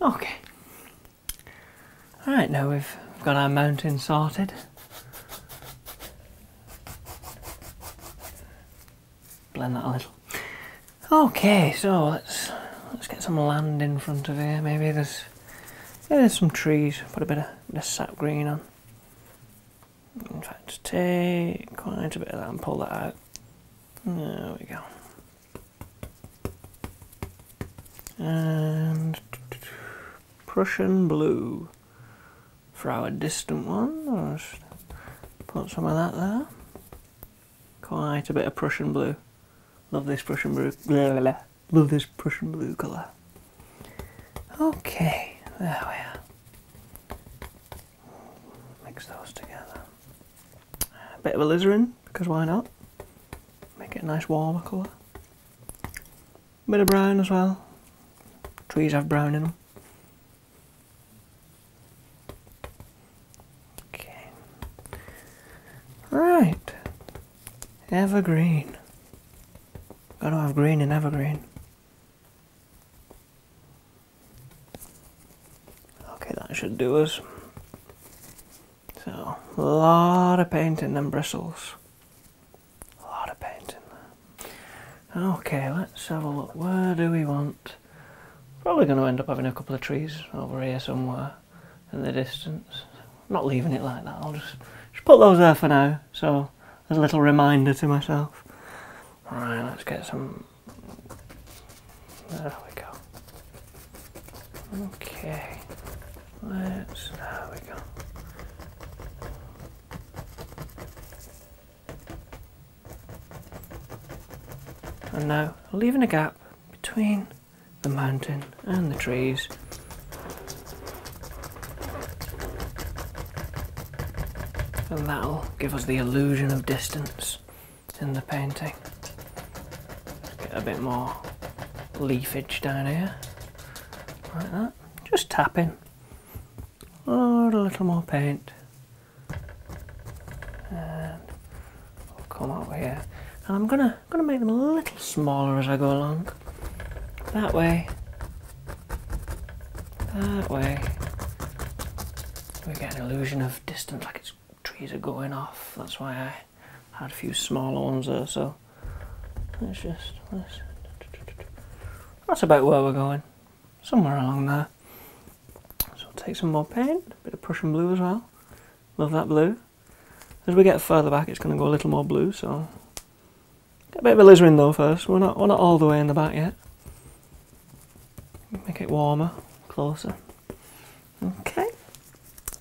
Okay. Alright, now we've got our mountain sorted. Blend that a little. Okay, so let's let's get some land in front of here. Maybe there's there's some trees. Put a bit of, bit of sap green on. In fact, take quite a bit of that and pull that out. There we go and Prussian blue for our distant one. I'll just put some of that there. Quite a bit of Prussian blue. Love this Prussian blue. Love this Prussian blue colour. Okay, there we are. Mix those together a bit of alizarin because why not? Make it a nice warmer colour. Bit of brown as well. Trees have brown in them. Okay. Right. Evergreen. Gotta have green and evergreen. Okay, that should do us. So, a lot of paint in them bristles. A lot of paint in there. Okay, let's have a look. Where do we want? Probably going to end up having a couple of trees over here somewhere in the distance. not leaving it like that. I'll just, just put those there for now. So, as a little reminder to myself. Alright, let's get some there we go. Okay. Let's, there we go. And now, leaving a gap between the mountain and the trees. And that'll give us the illusion of distance in the painting. Get a bit more leafage down here. Like that. Just tapping. Load oh, a little more paint. And I'll come over here. And I'm gonna gonna make them a little smaller as I go along. That way. That way. We get an illusion of distance like it's trees are going off. That's why I had a few smaller ones there. So let just That's about where we're going. Somewhere along there. So take some more paint, a bit of Prussian blue as well. Love that blue. As we get further back, it's going to go a little more blue. So get a bit of in though first. We're not we're not all the way in the back yet. Make it warmer, closer. Okay.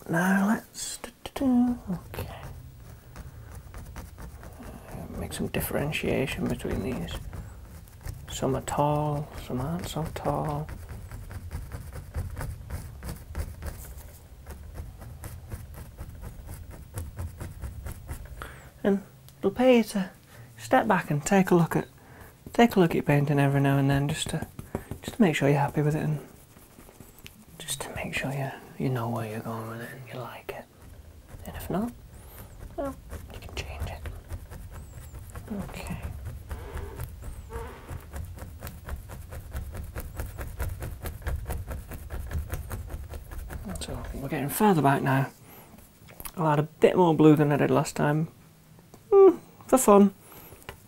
Now let's. Uh, make some differentiation between these. Some are tall, some aren't so tall. And it'll pay you to step back and take a look at take a look at painting every now and then just to just to make sure you're happy with it and just to make sure you you know where you're going with it and you like it. And if not, well, you can change it. Okay. So we're getting further back now. I'll add a bit more blue than I did last time, Hmm, for fun,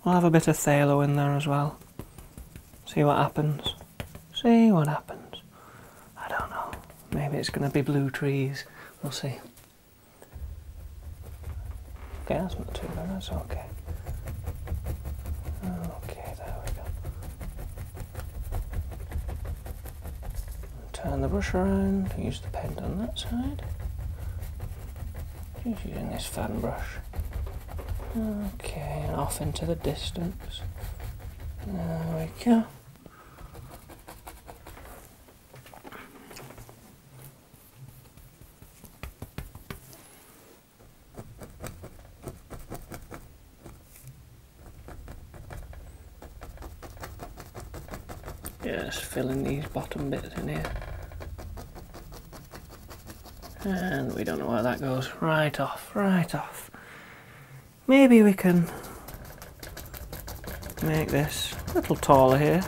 we'll have a bit of Thalo in there as well. See what happens. See what happens. I don't know. Maybe it's going to be blue trees. We'll see. Okay, that's not too bad. That's okay. Okay, there we go. Turn the brush around. Use the pen on that side. Just using this fan brush. Okay, and off into the distance. There we go just filling these bottom bits in here. And we don't know where that goes. Right off, right off. Maybe we can make this a little taller here.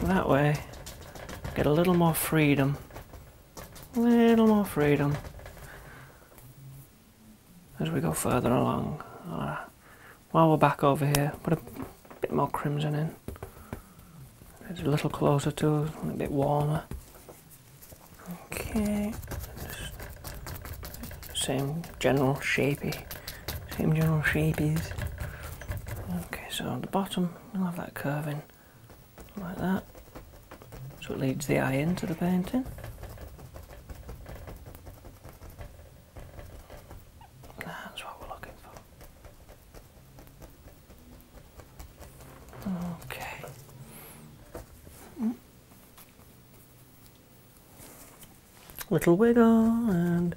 That way, get a little more freedom. A little more freedom as we go further along while we're back over here, put a bit more crimson in. It's a little closer to a bit warmer. Okay, same general shapey, same general shapies. Okay, so on the bottom we'll have that curving like that, so it leads the eye into the painting. That's what we're looking for. Okay. Little wiggle, and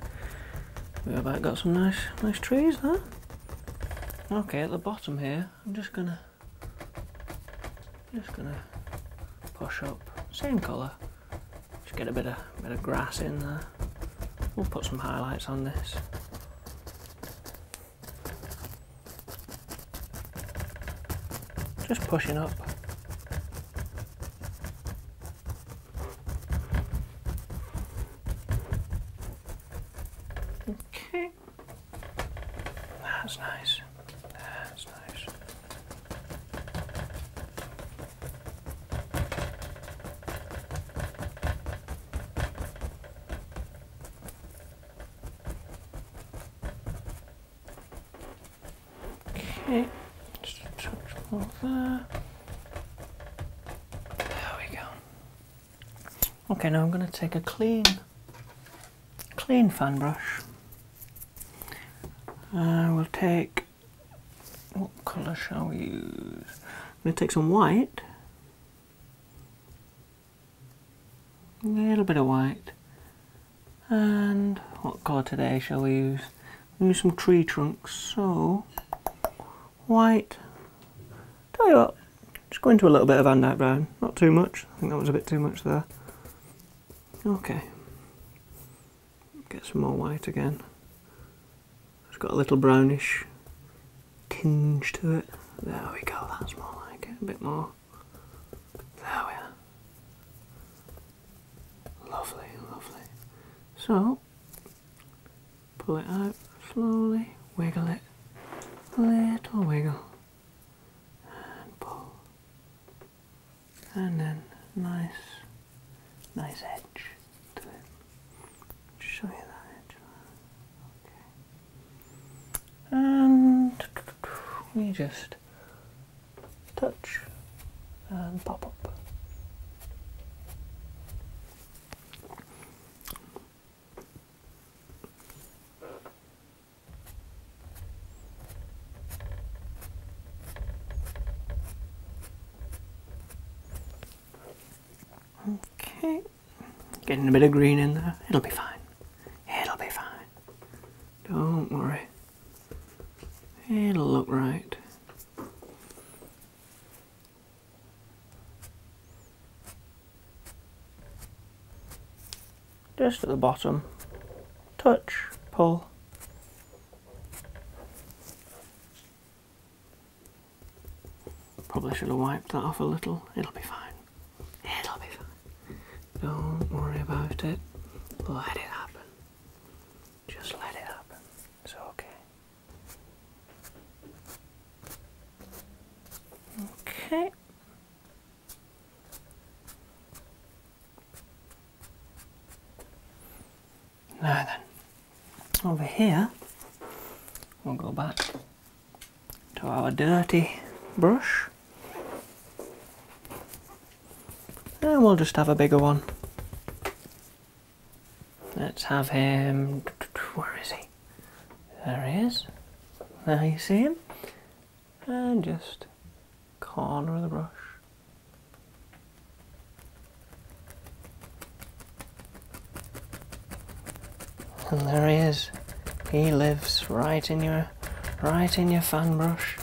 we've about got some nice, nice trees there. Okay, at the bottom here, I'm just gonna, just gonna push up, same colour, just get a bit of bit of grass in there. We'll put some highlights on this. Just pushing up. Okay. That's nice. That's nice. Okay, just a touch more there. There we go. Okay, now I'm going to take a clean, clean fan brush. I uh, will take what colour shall we use? I'm going to take some white. A little bit of white. And what colour today shall we use? we some tree trunks. So, white. Tell you what, just go into a little bit of hand brown. Not too much. I think that was a bit too much there. Okay. Get some more white again. It's got a little brownish tinge to it. There we go, that's more like it, a bit more. There we are. Lovely, lovely. So, pull it out slowly, wiggle it, little wiggle, and pull. And then nice, nice edge time. Show you that. Okay. And we just touch and pop up. Okay. Getting a bit of green in there. It'll be fine. It'll be fine. Don't worry. It'll look right. Just at the bottom. Touch, pull. Probably should have wiped that off a little. It'll be fine. It'll be fine. Don't worry about it. Let it happen. Just let it happen. It's okay. Okay. Now then, over here, we'll go back to our dirty brush and we'll just have a bigger one. Let's have him. Where is he? There he is. There you see him. And just corner of the brush. And there he is. He lives right in your right in your fan brush.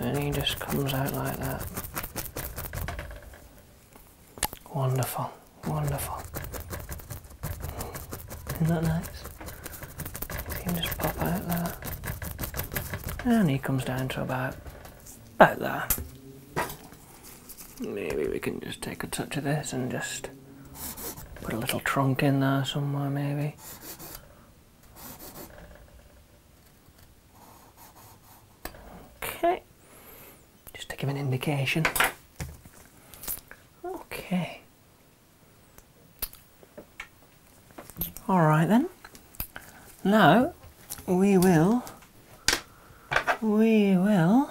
And he just comes out like that. Wonderful, wonderful. Isn't that nice? He just pops out like that. And he comes down to about about there. Maybe we can just take a touch of this and just put a little trunk in there somewhere maybe. Okay. Just to give an indication. Okay. Alright then. Now we will we will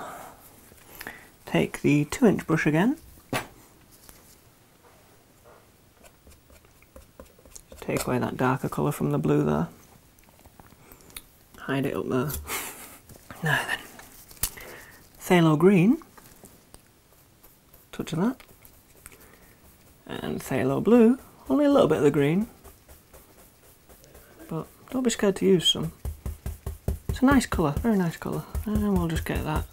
take the two inch brush again. Take away that darker colour from the blue there. Hide it up there. No, then. Phthalo green. Touch of that. And phthalo blue. Only a little bit of the green. But don't be scared to use some. It's a nice colour, very nice colour. And we'll just get that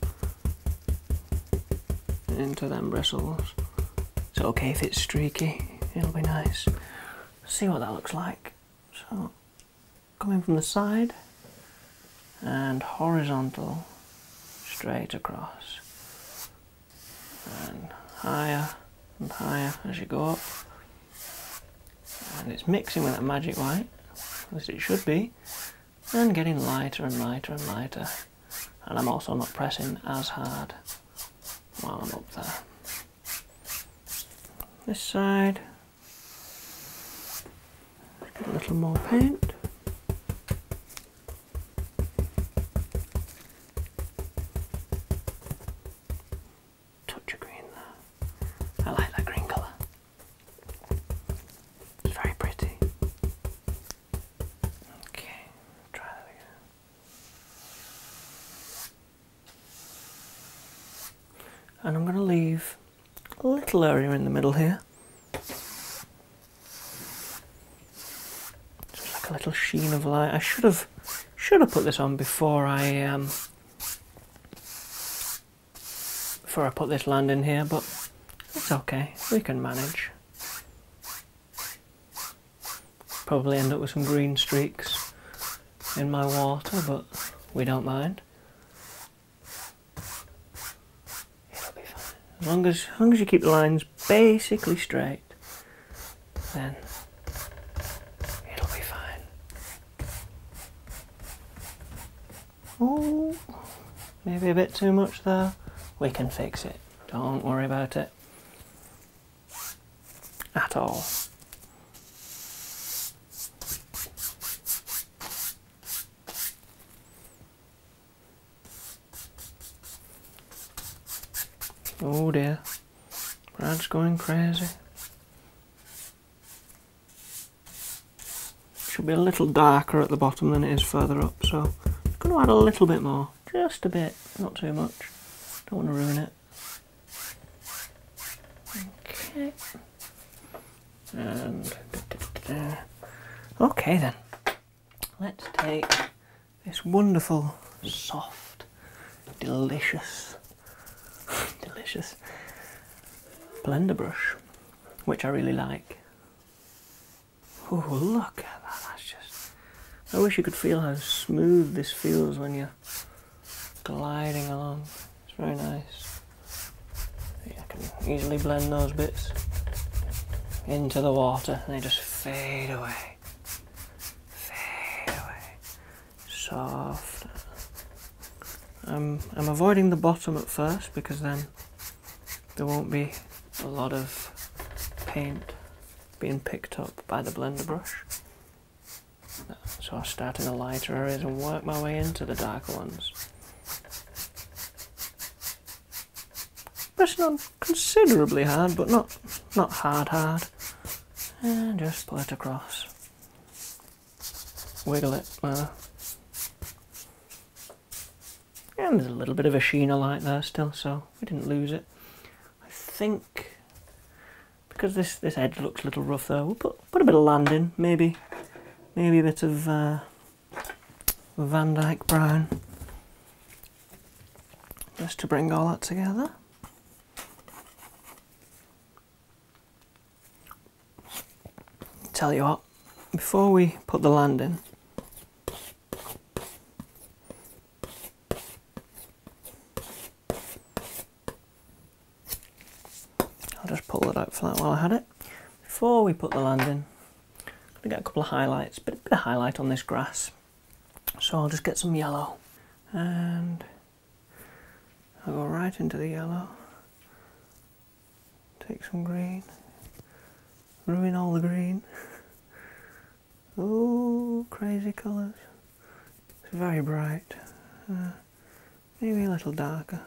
into them bristles. It's okay if it's streaky, it'll be nice. See what that looks like. So, coming from the side and horizontal straight across and higher and higher as you go up. And it's mixing with that magic white, as it should be, and getting lighter and lighter and lighter. And I'm also not pressing as hard while I'm up there. This side, get a little more paint. Touch of green there. I like that green colour. It's very pretty. Okay, try that again. And I'm going to leave a little area in the middle here. Just like a little sheen of light. I should have should have put this on before I um, before I put this land in here, but it's okay. We can manage. Probably end up with some green streaks in my water, but we don't mind. It'll be fine. As long as, as long as you keep the lines basically straight, then it'll be fine. Oh, maybe a bit too much there. We can fix it. Don't worry about it at all. Oh dear. Brad's going crazy. Should be a little darker at the bottom than it is further up, so I'm going to add a little bit more. Just a bit, not too much. Don't want to ruin it. Okay. And... Okay then. Let's take this wonderful, soft, delicious, delicious blender brush, which I really like. Oh, look at that! That's just. I wish you could feel how smooth this feels when you're gliding along. It's very nice. I can easily blend those bits into the water and they just fade away very soft. I'm, I'm avoiding the bottom at first because then there won't be a lot of paint being picked up by the blender brush. So I start in the lighter areas and work my way into the darker ones. Pressing on considerably hard, but not not hard hard. And just pull it across. Wiggle it. And there's a little bit of a sheen of light there still, so we didn't lose it. I think because this this edge looks a little rough though, we'll put put a bit of land in, maybe maybe a bit of uh, Van Dyke brown, just to bring all that together. Tell you what, before we put the land in, I'll just pull that out for that while I had it. Before we put the land in, going to get a couple of highlights, a bit of highlight on this grass. So I'll just get some yellow and I'll go right into the yellow. Take some green. Ruin all the green. oh, crazy colours. very bright. Uh, maybe a little darker.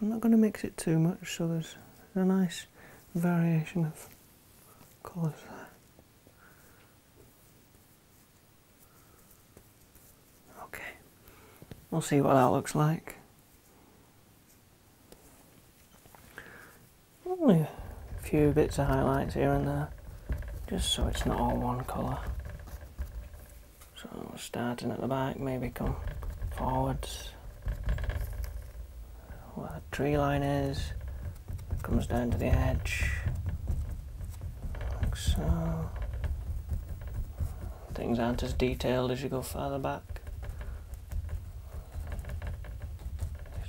I'm not going to mix it too much so there's a nice variation of colours there. Okay, we'll see what that looks like. Only a few bits of highlights here and there, just so it's not all one colour. So starting at the back, maybe come forwards where the tree line is, comes down to the edge, like Things aren't as detailed as you go further back.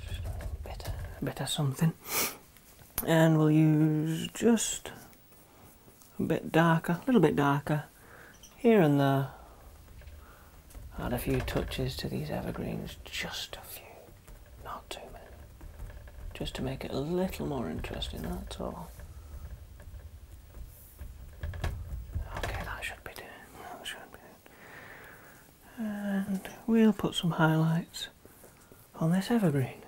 Just bit, bit of something. And we'll use just a bit darker, a little bit darker here and there. Add a few touches to these evergreens, just a few, not too many. Just to make it a little more interesting, that's all. Okay, that should be doing. That should be doing. And we'll put some highlights on this evergreen.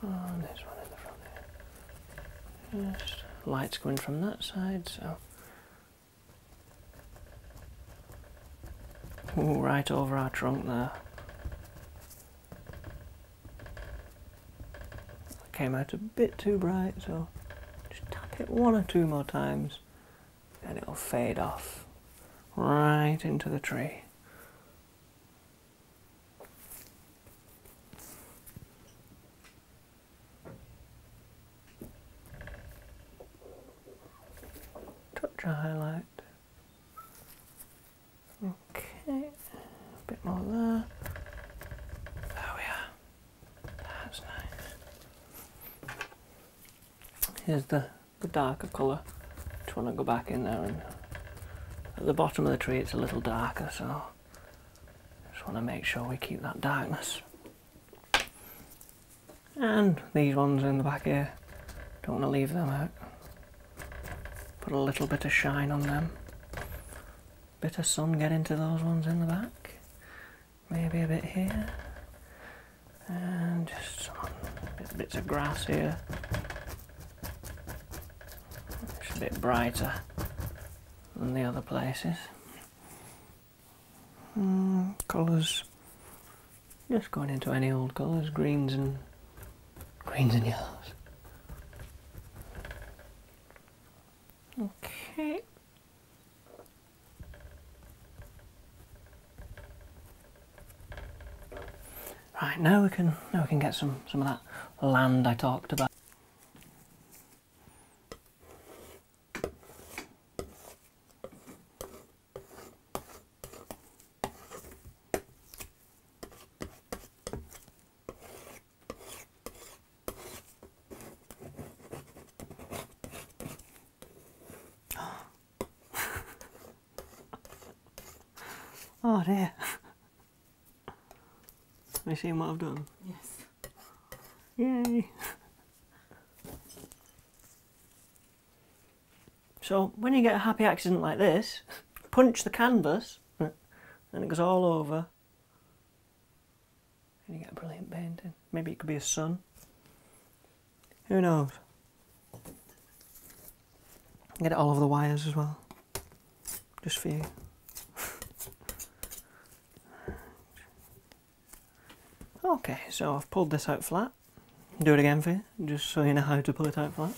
And oh, there's one in the front there. Yes. Lights going from that side, so. Ooh, right over our trunk there. Came out a bit too bright, so just tap it one or two more times and it'll fade off right into the tree. Touch a highlight. Okay, a bit more there. There we are. That's nice. Here's the, the darker colour. Just want to go back in there and at the bottom of the tree it's a little darker, so just want to make sure we keep that darkness. And these ones in the back here, don't want to leave them out. Put a little bit of shine on them. Bit of sun get into those ones in the back. Maybe a bit here. And just some bits of grass here. It's a bit brighter than the other places. Mm, colours, just going into any old colours, greens and greens and yellows. Okay. Right now we can now we can get some some of that land I talked about. Oh dear. Have you seen what I've done? Yes. Yay! So when you get a happy accident like this, punch the canvas and it goes all over and you get a brilliant painting. Maybe it could be a sun. Who knows? Get it all over the wires as well, just for you. okay, so I've pulled this out flat. Do it again for you, just so you know how to pull it out flat.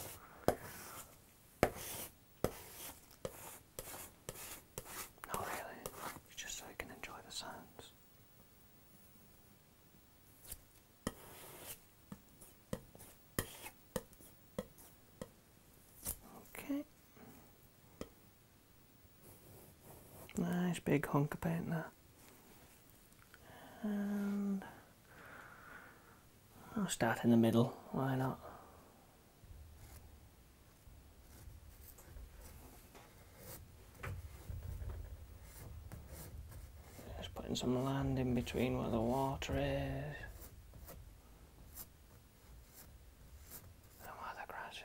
Not really, just so you can enjoy the sounds. Okay. Nice big hunk of paint there. And I'll start in the middle, why not? Just putting some land in between where the water is. No other crashes.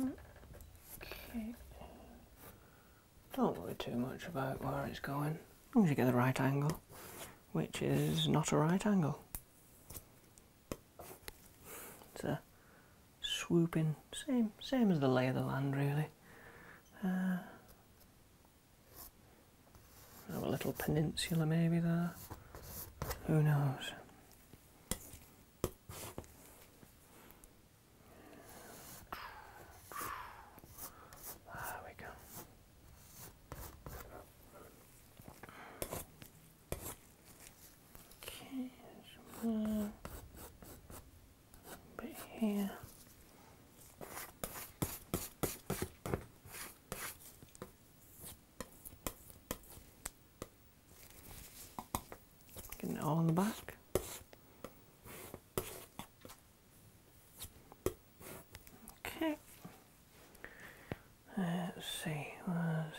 Okay. Don't worry too much about where it's going, as long as you get the right angle, which is not a right angle. It's a swooping, same same as the lay of the land, really. Uh, have a little peninsula maybe there. Who knows? There we go. Okay, somewhere bit here. it all on the back. Okay. Let's see, where's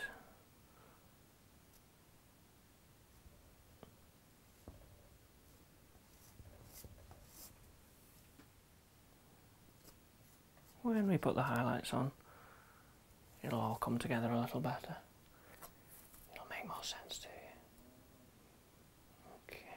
when we put the highlights on, it'll all come together a little better. It'll make more sense to you. Okay.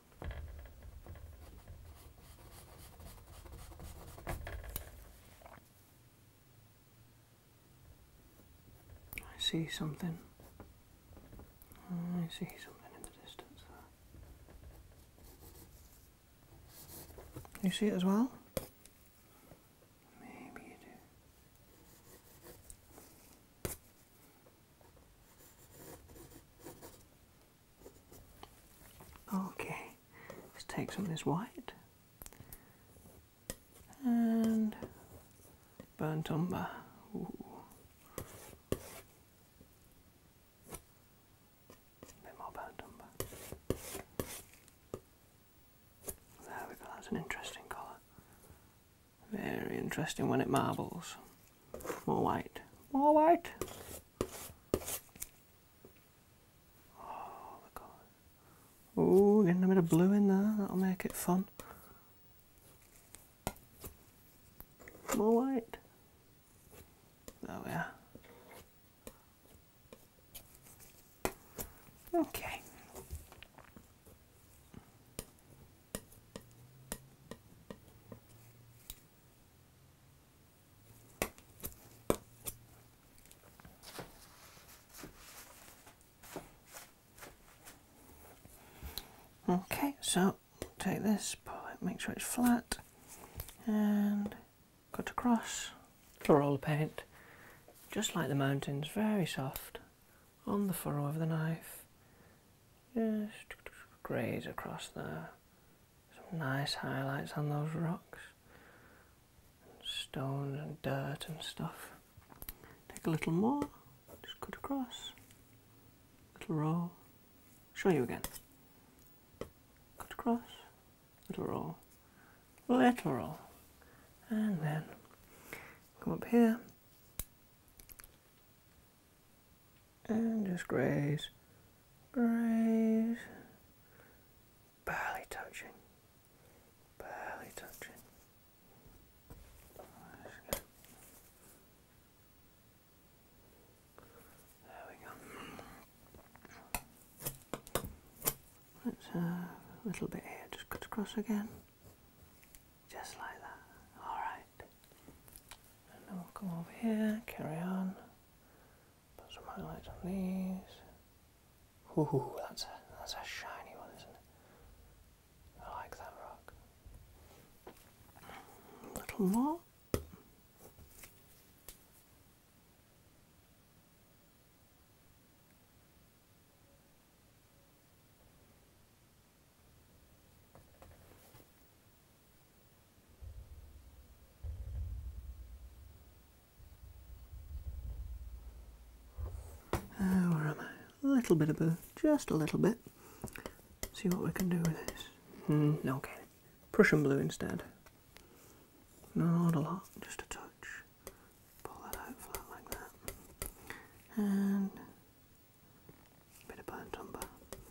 I see something. I see something in the distance You see it as well? Maybe you do. Okay, let's take some of this white and burnt umber. A bit more burnt umber. There we go, that's an interesting colour. Very interesting when it marbles. More white. More white. Oh, look on. Ooh, getting a bit of blue in there. That'll make it fun. More white. There we Okay. Okay, so take this, pull make sure it's flat, and cut across the roll of paint, just like the mountains, very soft, on the furrow of the knife. Just graze across there, some nice highlights on those rocks. And stones and dirt and stuff. Take a little more, just cut across. Little roll. Show you again. Cut across. Little roll. Little roll. And then come up here and just graze, graze, barely touching, barely touching. There we go. Let's a little bit here, just cut across again, just like that. All right, and then we'll come over here, carry on. Put some highlights on these. Ooh, that's a that's a shiny one, isn't it? I like that rock. A little more. Uh, little bit of a, just a little bit. See what we can do with this. Mm, okay. Prussian blue instead. Not a lot, just a touch. Pull that out flat like that. And a bit of burnt umber.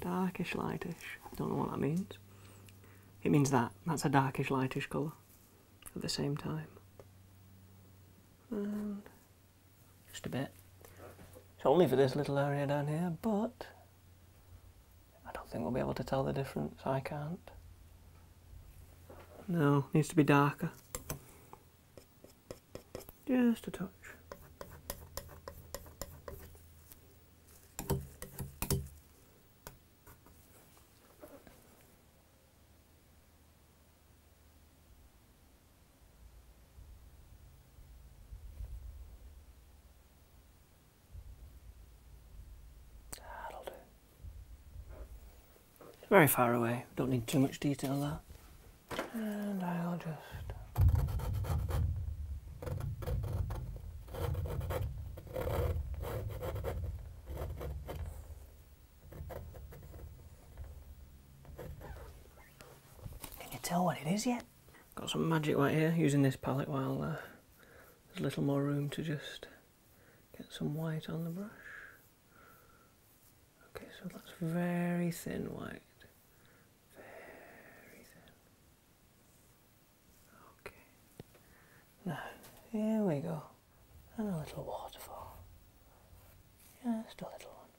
darkish lightish. I don't know what that means. It means that. That's a darkish lightish colour at the same time. And just a bit. It's only for this little area down here, but I don't think we'll be able to tell the difference. I can't. No, needs to be darker. Just a touch. That'll do. Very far away, don't need too much detail there and I'll just Can you tell what it is yet? Got some magic right here using this palette while uh, there's a little more room to just get some white on the brush. Okay, so that's very thin white. Very thin. Okay. Now, here we go. And a little waterfall. Just a little one.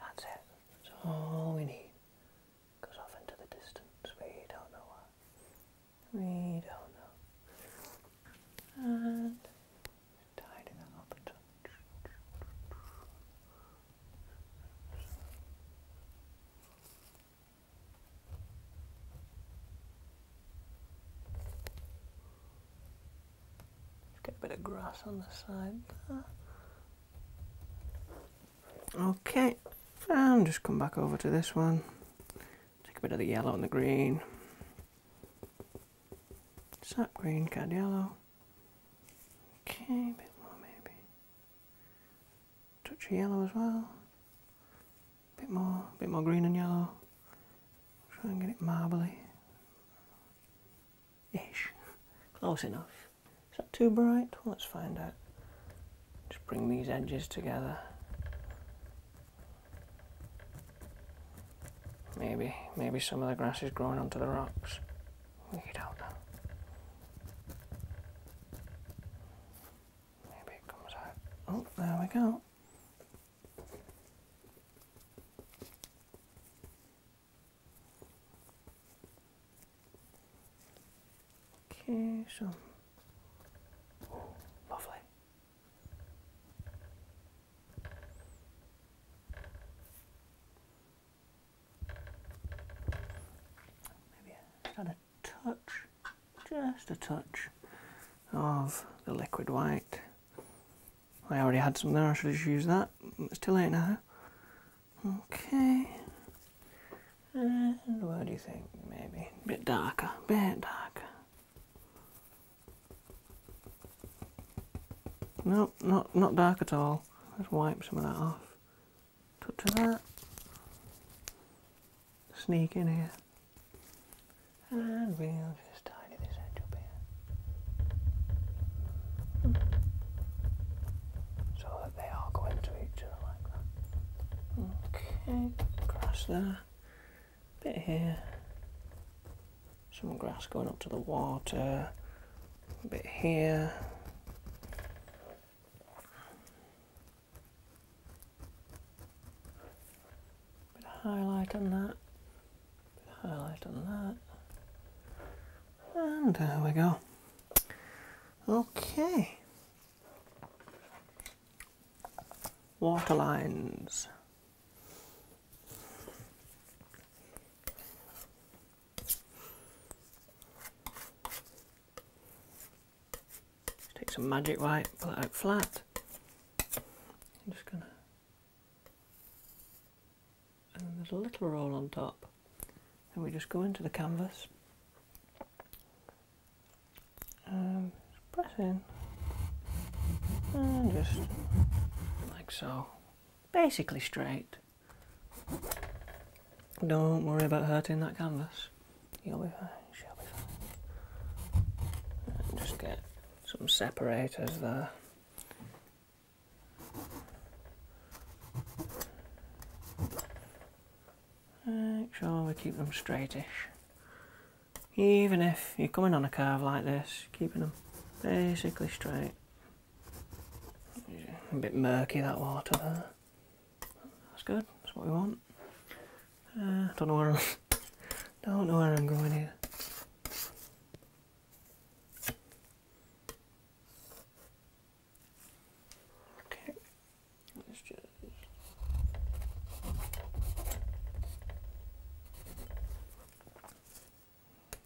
That's it. That's all we need. Goes off into the distance. We don't know what. We don't know. And Get a bit of grass on the side there. Okay, and just come back over to this one. Take a bit of the yellow and the green. Sap green, cad yellow. Okay, a bit more maybe. Touch of yellow as well. A bit more, a bit more green and yellow. Try and get it marbly. Ish. Close enough. Is that too bright? let's find out. Just bring these edges together. Maybe, maybe some of the grass is growing onto the rocks. You don't know. Maybe it comes out. Oh, there we go. Okay, so. lovely. Maybe add a touch, just a touch of the liquid white. I already had some there, I should just use that. It's too late now. Okay. And what do you think? Maybe a bit darker, a bit darker. No, not, not dark at all. Let's wipe some of that off. Touch of that. Sneak in here. And we'll just tidy this edge up here. Mm. So that they all go into each other like that. Okay, grass there. Bit here. Some grass going up to the water bit here. Bit of highlight on that, bit of highlight on that, and there we go. Okay. Waterlines take some magic white, pull it out flat. I'm just gonna and then there's a little roll on top. And we just go into the canvas. Um, press in and just like so. Basically straight. Don't worry about hurting that canvas. You'll be fine, she'll be fine. just get some separators there. Make sure we keep them straightish. Even if you're coming on a curve like this, keeping them basically straight. A bit murky that water there. That's good. That's what we want. Uh, don't know where i don't know where I'm going here. Okay. Let's just.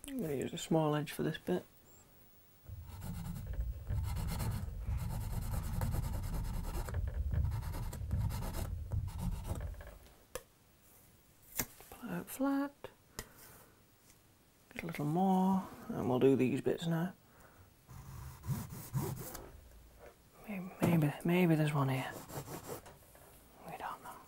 I'm going to use a small edge for this bit. Pull out flat. Just a little more, and we'll do these bits now. Maybe, maybe, maybe there's one here. We don't know.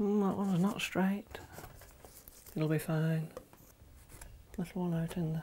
Mm, that one's not straight. It'll be fine. Little one out in there.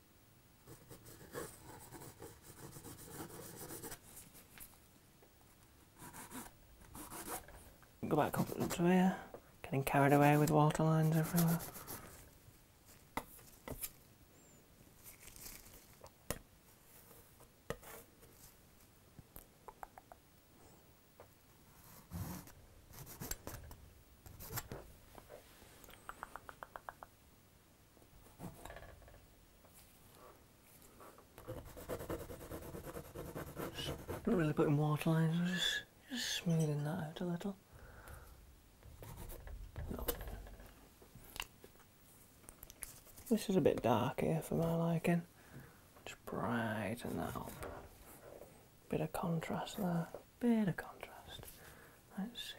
Go back up to here, getting carried away with water lines everywhere not really putting water lines, just, smoothing that out a little. No. This is a bit dark here for my liking. Just brighten that up. Bit of contrast there. Bit of contrast. Let's see.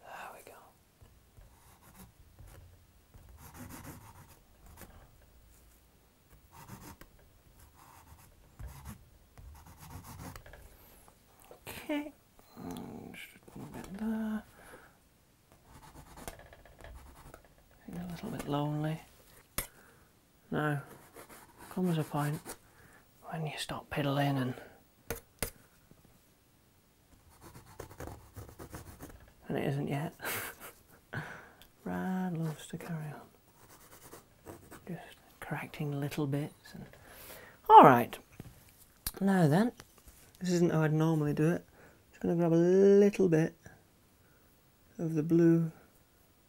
There we go. Okay, mm, a little bit lonely. No, comes a point when you stop piddling and and it isn't yet. Rad loves to carry on. Just correcting little bits. And... All right. Now then, this isn't how I'd normally do it. I'm just going to grab a little bit of the blue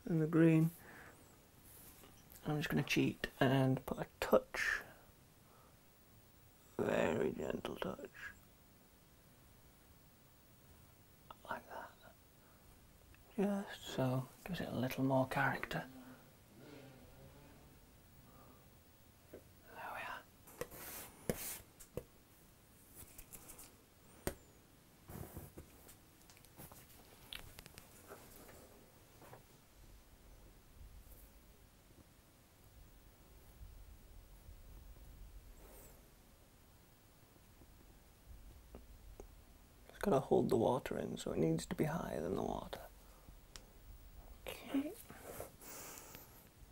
and the green. I'm just going to cheat and put a touch very gentle touch. Like that. Just so, gives it a little more character. There we are. It's got to hold the water in, so it needs to be higher than the water. Okay.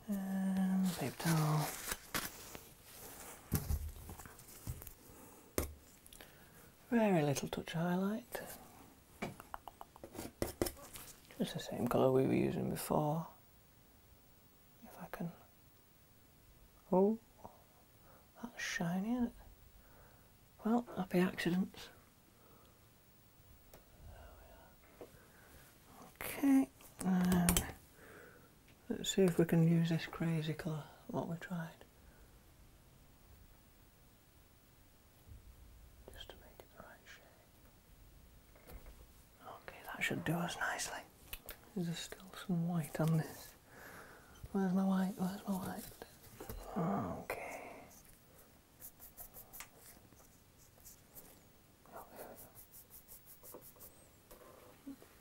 And um, paper towel. Very little touch highlight. Just the same colour we were using before. If I can. Oh, that's shiny, Well, happy accidents. Okay, um, let's see if we can use this crazy colour, what we tried. Okay, that should do us nicely. Is there still some white on this. Where's my white? Where's my white? Okay.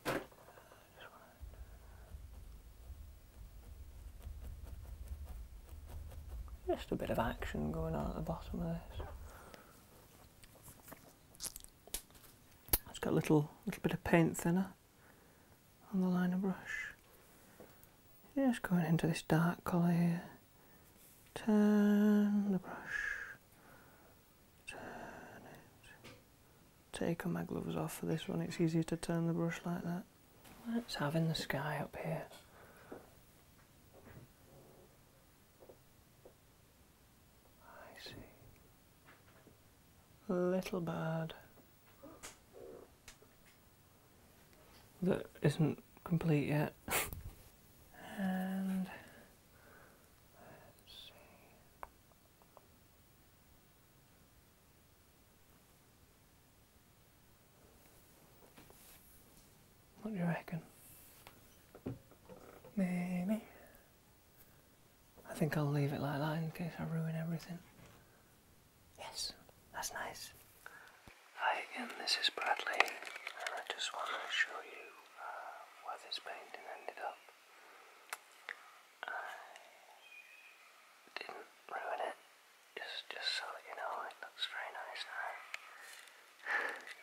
Oh, just a bit of action going on at the bottom of this. It's got a little, little bit of paint thinner on the liner brush. Just going into this dark colour here. Turn the brush. Turn it. Taking my gloves off for this one, it's easier to turn the brush like that. Let's have in the sky up here. I see. A little bird that isn't complete yet. and let's see. What do you reckon? Maybe. I think I'll leave it like that in case I ruin everything. Yes, that's nice. Hi again, this is Bradley, and I just want to show you uh, where this painting ended up. I didn't ruin it, just, just so that you know, it looks very nice now.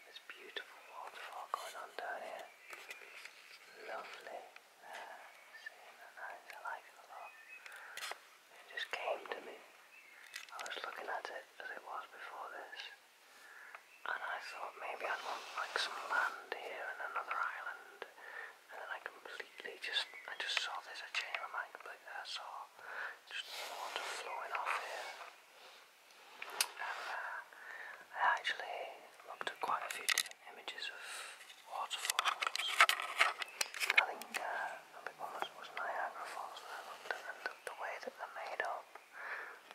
this beautiful waterfall going on down here. Lovely. seeing that nice, I like it a lot. It just came to me. I was looking at it as it was before this. And I thought maybe I'd want like some land here and another island. And then I completely just, I just saw this, I changed my mind completely, I just water flowing off here. Uh, I actually looked at quite a few different images of waterfalls. I think uh, the big one was, Niagara Falls the, way that they're made up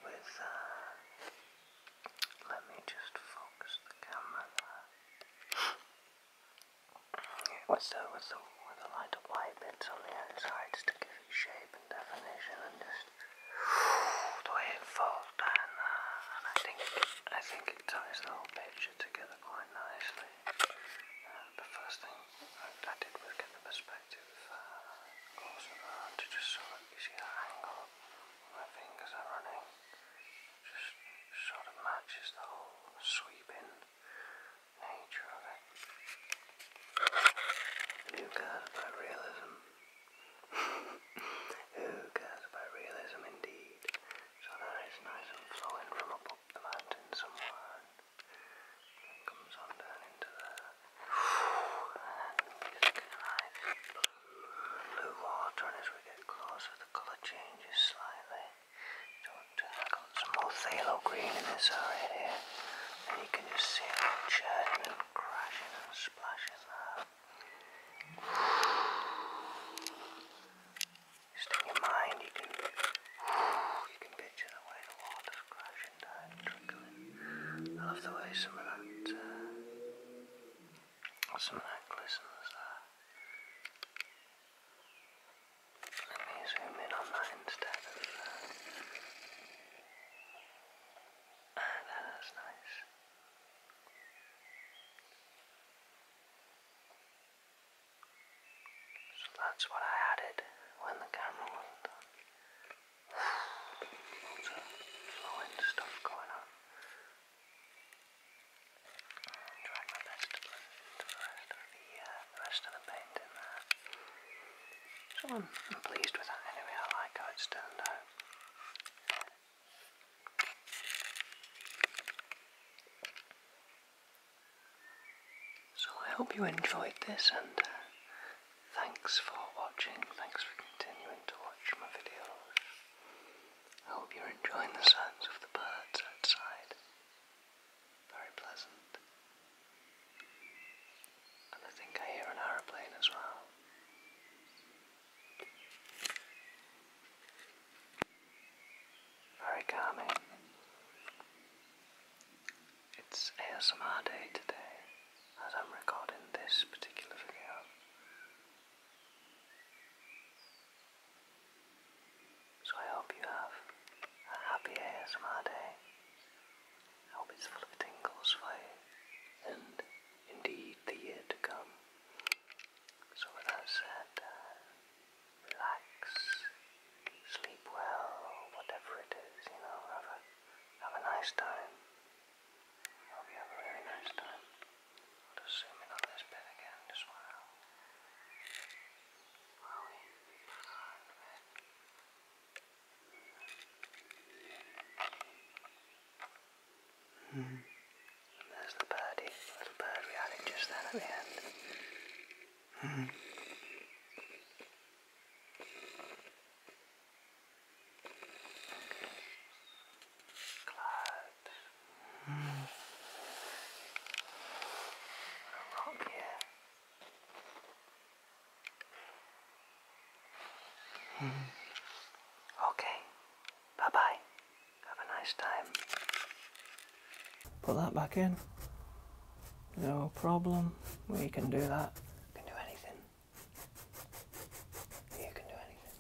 with. Uh, let me just focus the camera What's the, what's the, light up light bits on the outside to give it shape and definition and just the way it falls And I think, I think it ties the whole picture together quite nicely. Uh, the first thing I, did was get the perspective uh, closer to just so that you see the angle my fingers are running. Just sort of matches the whole sweeping nature of Who cares about realism? Who cares about realism indeed? So that is nice and flowing from up, the mountain somewhere comes on down into the blue, water as we get closer the colour changes slightly. Don't, uh, got some phthalo green in this area And you can just see it churning and crashing and splashing Just in your mind you can you can picture the way the water's crashing down and trickling. I love the way some of that uh, some of that glistens let me zoom in on that instead uh, Ah, that's nice. So that's what I added when the camera wasn't on. Lots of flowing stuff going on. i my best to blend the rest of the uh, so I'm, pleased with that anyway, I like how it's turned out. So I hope you enjoyed this and uh, thanks for watching, thanks for continuing to watch my videos. I hope you're enjoying the sounds of the birds outside. Very pleasant. And I think I hear an aeroplane as well. Very calming. It's ASMR day today as I'm recording this particular video. So I hope you have a happy ASMR day. I hope it's full of tingles for you and indeed the year to come. So with that said, uh, relax, sleep well, whatever it is, you know, have a, have a nice time. hope you have a really nice time. I'll just zoom in on this bit again as well. Mm -hmm. There's the birdie, little bird reality just then at the end. -hmm. Okay. -hmm. Oh, hmm. Okay. Bye bye. Have a nice time. Put that back in. No problem. We can do that. can do anything. You can do anything.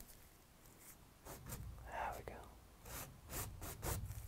There we go.